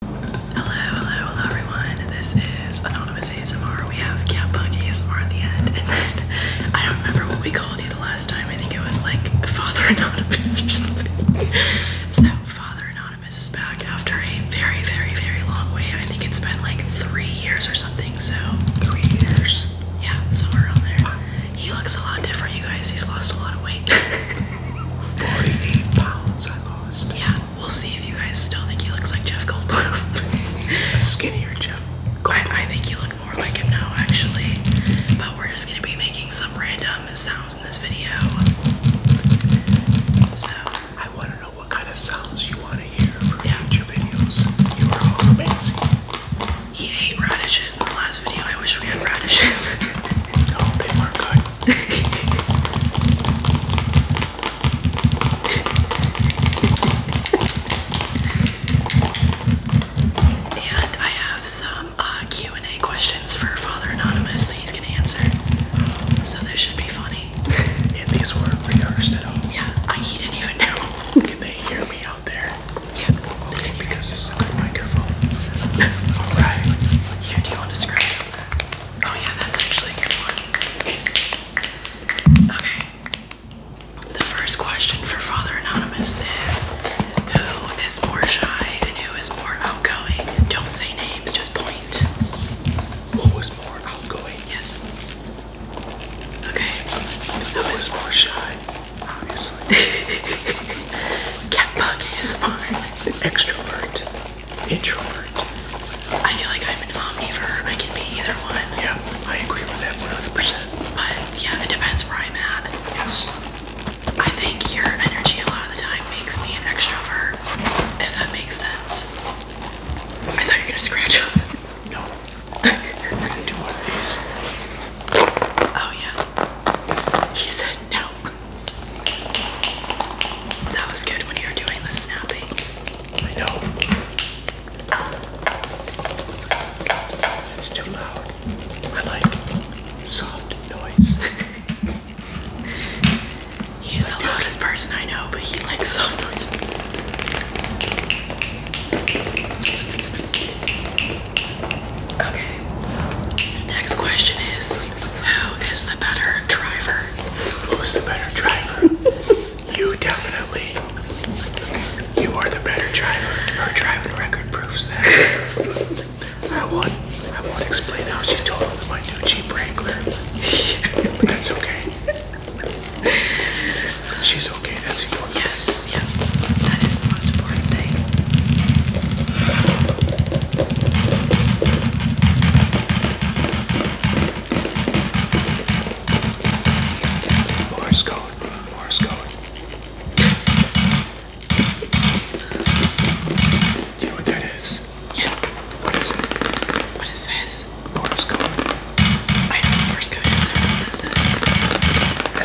Hello, hello, hello everyone. This is Anonymous ASMR. We have Cat Catbug ASMR at the end, and then I don't remember what we called you the last time. I think it was like Father Anonymous or something. so Father Anonymous is back after a very, very, very long wait. I think it's been like three years or something. So three years. Yeah, somewhere around there. He looks a lot different, you guys. He's lost a lot of weight. Forty-eight pounds I lost. Yeah, we'll see if you guys still think he looks like Jeff Goldblum. skinnier Jeff I, think he look more like him now, actually. But we're just gonna be making some random sounds in this video. So I want to know what kind of sounds you want to hear for yeah. future videos. You are amazing. He ate radishes in the last video. I wish we had radishes. no, they were good. and I have some uh, Q and A questions for Father Anonymous that he's gonna answer. So this should be funny. and these were rehearsed at home. Yeah, I, he didn't even know. Can they hear me out there? Yeah. Okay, because this is a good microphone. Alright. Here, do want to scratch Oh yeah, that's actually a good one. Okay. The first question for Father Anonymous is Who is more shy and who is more outgoing? Don't say names, just point. was more outgoing? Yes. Okay. Who is more shy? Obviously. Cat is more extrovert introvert. I feel like I'm an omnivore. I can be either one. Yeah, I agree with that 100%. But yeah, it depends where I'm at. Yes. I think your energy a lot of the time makes me an extrovert, if that makes sense. I thought you were gonna scratch up. No. we're gonna do one of these. Oh yeah. He said no. That was good when you were doing the snapping. I know. It's too loud. I like soft noise. He's the loudest person I know, but he likes soft noise. Next question is Who is the better driver? Who's the better driver? you definitely. You are the better driver. Her driving record proves that. I won't, I won't explain how she totaled my new Jeep Wrangler. but that's okay. She's okay, that's important. Yes, yeah. That is the most important important thing. Morse code, Do you know what that is? Yeah. What is it? What it says? Morse I know Morse code is. I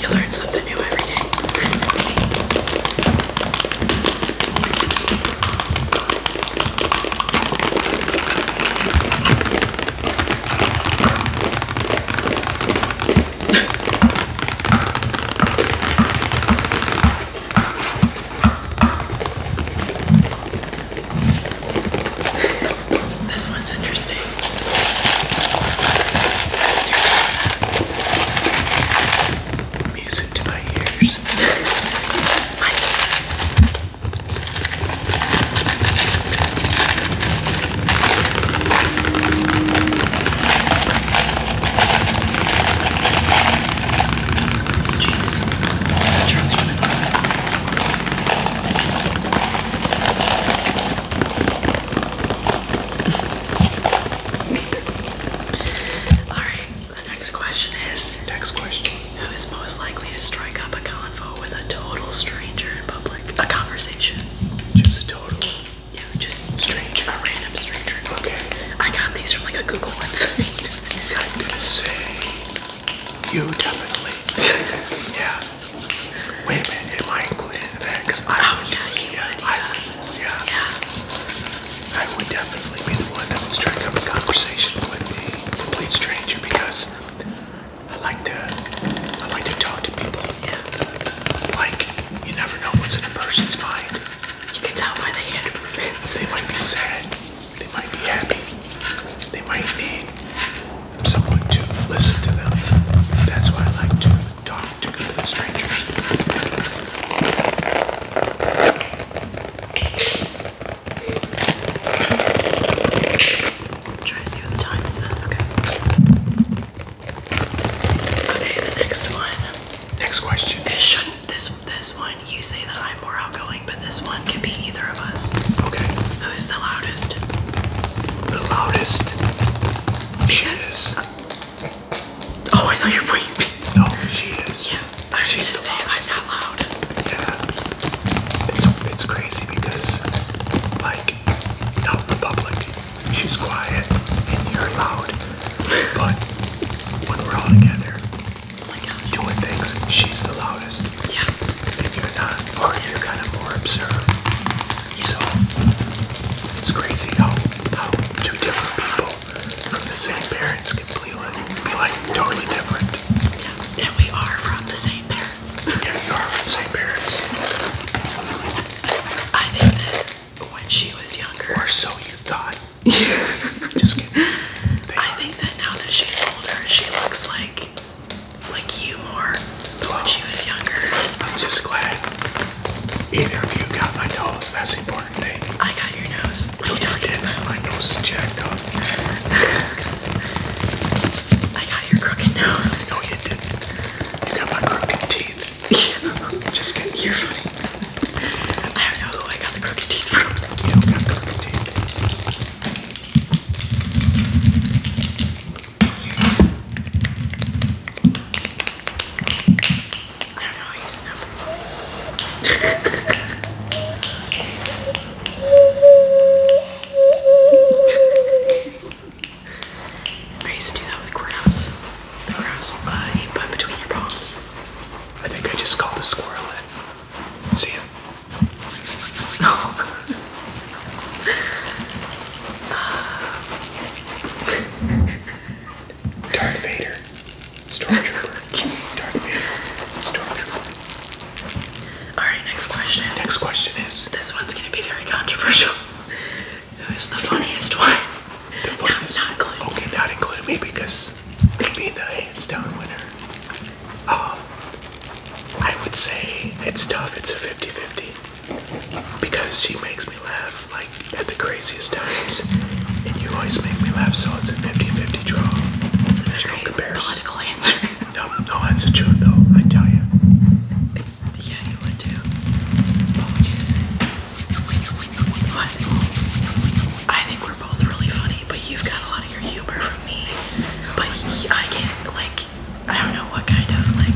you learn something new every day. this one's interesting. Music to my ears. my Jeez. Trump's Alright, the next question is Next question. Who is most likely to strike up a convo with a total stranger in public? A conversation. Just a total. Yeah, just stranger. A random stranger. Okay. I got these from like a Google website. I'm to say you definitely. yeah. Wait a minute, am I included in that? Because I oh, would, yeah, yeah, I, would definitely be the one that would to up a conversation with a complete stranger because I like to, I like to talk to people. Yeah. Like, you never know what's in a person's mind. You can tell by the hand movements. They might be sad. They might be happy. They might need someone to listen to them. That's why I like to talk to complete strangers. Try to see what the time is Okay. Okay, the next one. Next question. It should, this this one you say that I'm more outgoing, but this one could be either of us. Okay. Who's the loudest? The loudest. Yes. Oh, I thought you were pointing me. No, she is. Yeah, I She's just saying I'm loud. Yeah. It's, it's crazy because, like, out in the public, she's quiet and you're loud. But when we're all together, oh doing things, she's the loudest. Yeah. If you're not, or you're kind of more observant. So it's crazy how how two different people from the same parents can be like, totally different. Yeah, and we are from the same parents. yeah, you are from the same parents. I think that when she was younger, or so you thought. Yeah. Just kidding. I think that now that she's older, she looks like like you more well, when she was younger. I'm just glad either of you got my nose. That's the important thing. I got your nose. What are you talking about? My nose is jacked up. I got your crooked nose. No, you didn't. You got my crooked teeth. just kidding. You're funny. I don't know who I got the crooked teeth from. You don't got crooked teeth. I don't know, I snap. I used do that with grass. The grass will uh, put between your palms. I think I just called the squirrel in. See ya. Dark Vader, Stormtrooper. Dark Vader, Stormtrooper. Alright, next question. Next question is This one's gonna be very controversial. Who is the funniest one? Not, not included. Okay, not included me because it'd be the hands down winner. Um, I would say it's tough, it's a 50 50 because she makes me laugh like at the craziest times, and you always make me laugh, so it's a 50 50 draw. That's There's no comparison. Political answer. no, no, that's the truth though, I tell you. Yeah, you would too. What I think we're both really funny, but you've got a lot of your humor from me. But I can't, like, I don't know what kind of like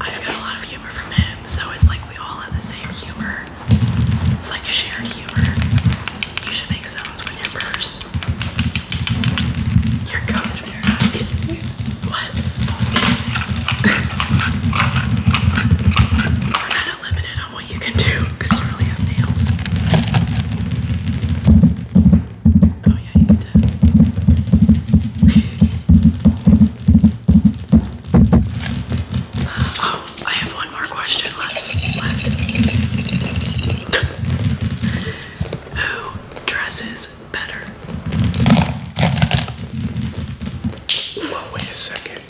I've got a lot of humor from him, so it's like we all have the same humor. It's like shared humor. You should make sounds with your purse. Your coat. What? We're kind of limited on what you can do because you really have nails. Oh yeah, you did. oh, I have one more question left. Who dresses better? Well, wait a second.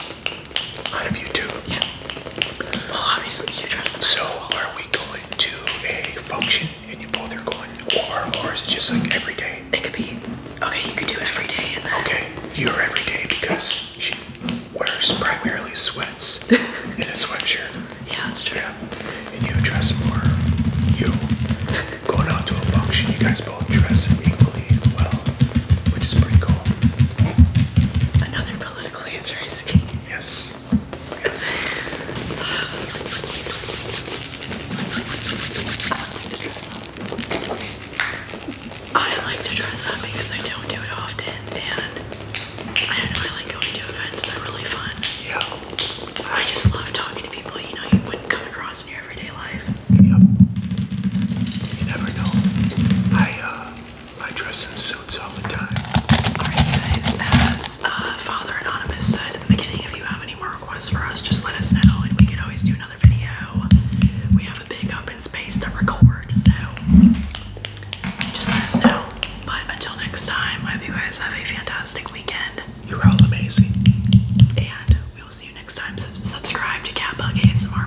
Out of you Yeah. Well, obviously you dress the So, are we going to a function and you both are going, or or is just like every day? It could be. Okay, you could do every day. And then... Okay, you're every day because she wears primarily sweats and a sweatshirt. Yeah, that's true. Yeah, and you dress more. You going out to a function. You guys both dress equally well, which is pretty cool. Another political answer, is Yes. I like to dress up because I don't do it often, and I don't know, I like going to events, they're really fun. Yeah. I just love talking to people, you know, you wouldn't come across in your everyday life. Yep. You never know. I, uh, I dress in suits all the time. Alright, guys, as uh, Father Anonymous said at the beginning, if you have any more requests for us, just let us know and we can always do another video. We have a big open space to record, so just let us know. But until next time, I hope you guys have a fantastic weekend. You're all amazing. And we will see you next time. Subscribe to Catbug ASMR,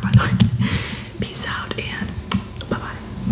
Peace out and bye bye.